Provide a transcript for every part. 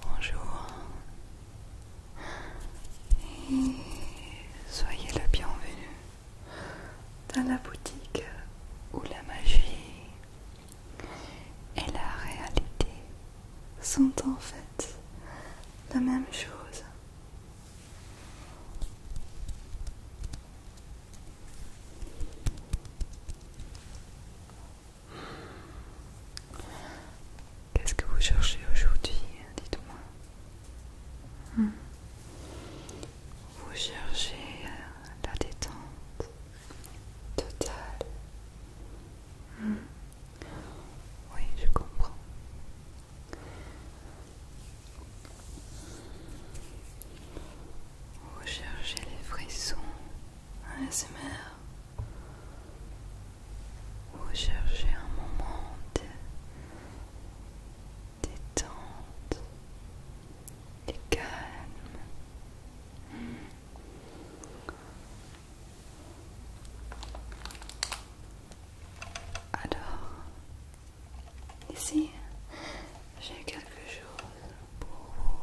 Bonjour et soyez le bienvenu dans la boutique où la magie et la réalité sont en fait la même chose. Qu'est-ce que vous cherchez aujourd'hui Dites-moi. Hmm. Vous cherchez euh, la détente totale oui, je comprends. Vous cherchez les frissons vous cherchez un moment de détente, de calme. Alors, ici, j'ai quelque chose pour vous.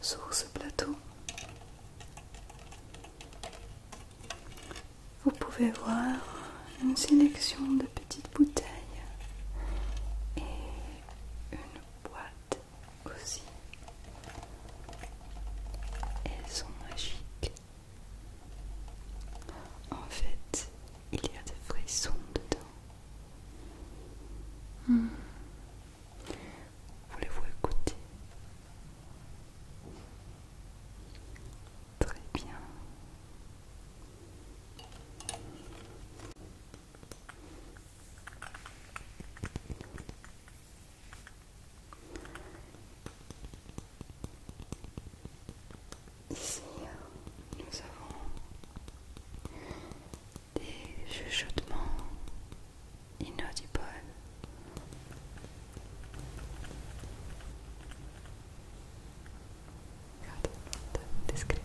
Sur ce plateau, vous pouvez voir une sélection de petites bouteilles et une boîte aussi. Elles sont magiques. En fait, il y a des sons dedans. Hmm. Voulez-vous écouter Très bien. Ici, nous avons des chuchotements inaudibles. Regarde, des squelettes.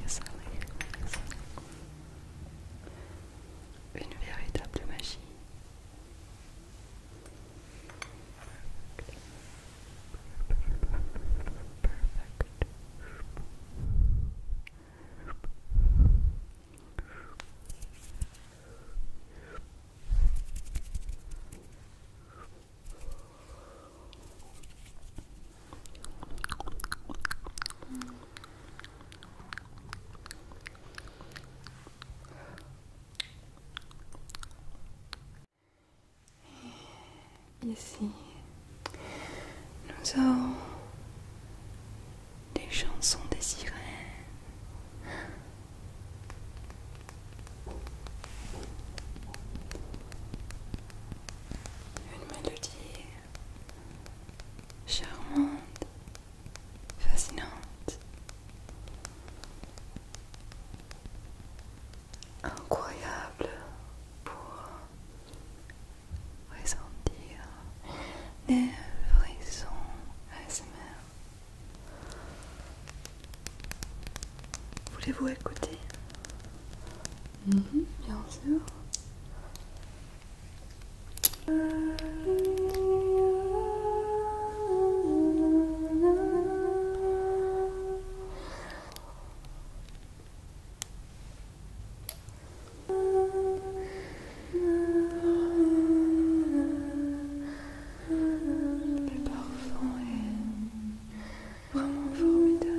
Yes, I like it. Yes, I like it. une véritable magie. Ici, nous avons des chansons des sirènes. Une mélodie charmante, fascinante, incroyable pour ressentir des frissons ASMR. Voulez-vous écouter mm-hmm. Bien sûr. Le parfum est vraiment formidable.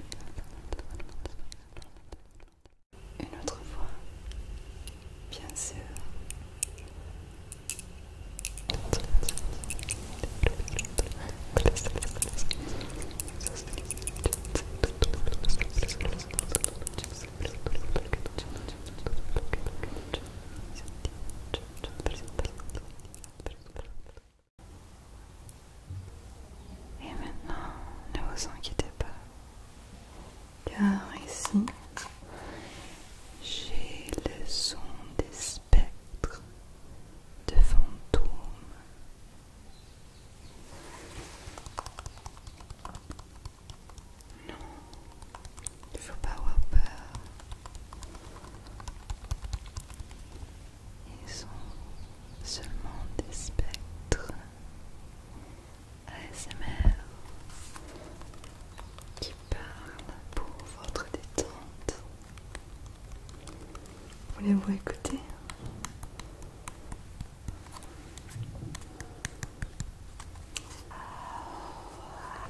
Une autre fois, bien sûr. Et maintenant, ne vous inquiétez pas, car ici, j'ai le son des spectres de fantômes. Non, il ne faut pas avoir peur. Ils sont seulement des spectres ASMR qui parlent pour votre détente. Voulez-vous écouter ah,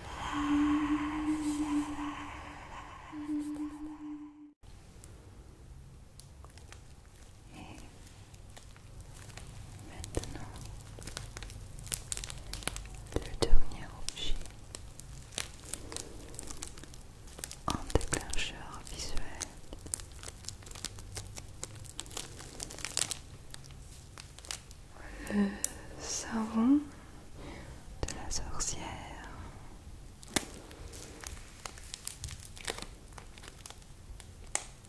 Et Maintenant, le dernier objet en déclencheur visuel le savon de la sorcière.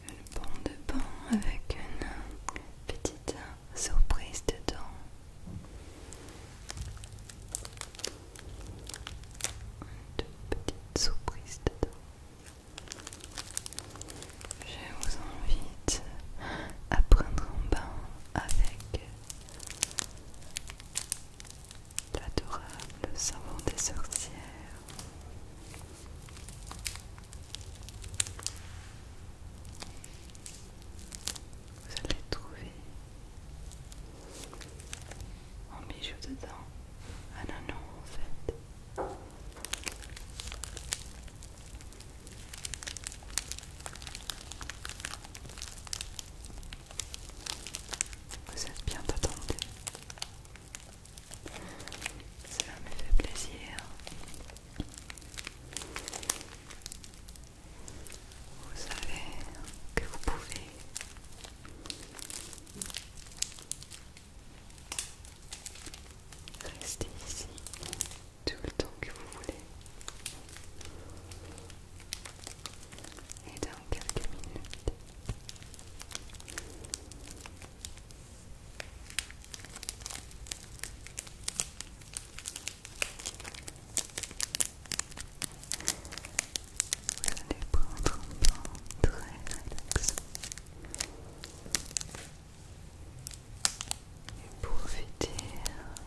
le pan de bain avec une petite surprise dedans. Une petites surprises surprise dedans. Je vous invite à prendre un bain avec l'adorable savon des sorcières. Vous allez trouver un bijou dedans. un non, en fait. Vous êtes bien attendu. Cela me fait plaisir. Vous savez que vous pouvez rester ici tout le temps que vous voulez. Et dans quelques minutes, vous allez prendre un temps très relaxant pour Profiter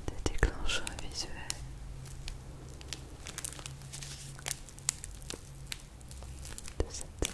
des déclencheurs visuels. De cette...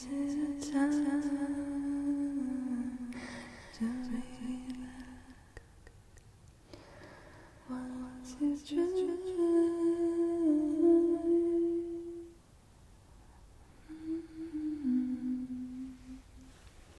Is it time to relax? Once you try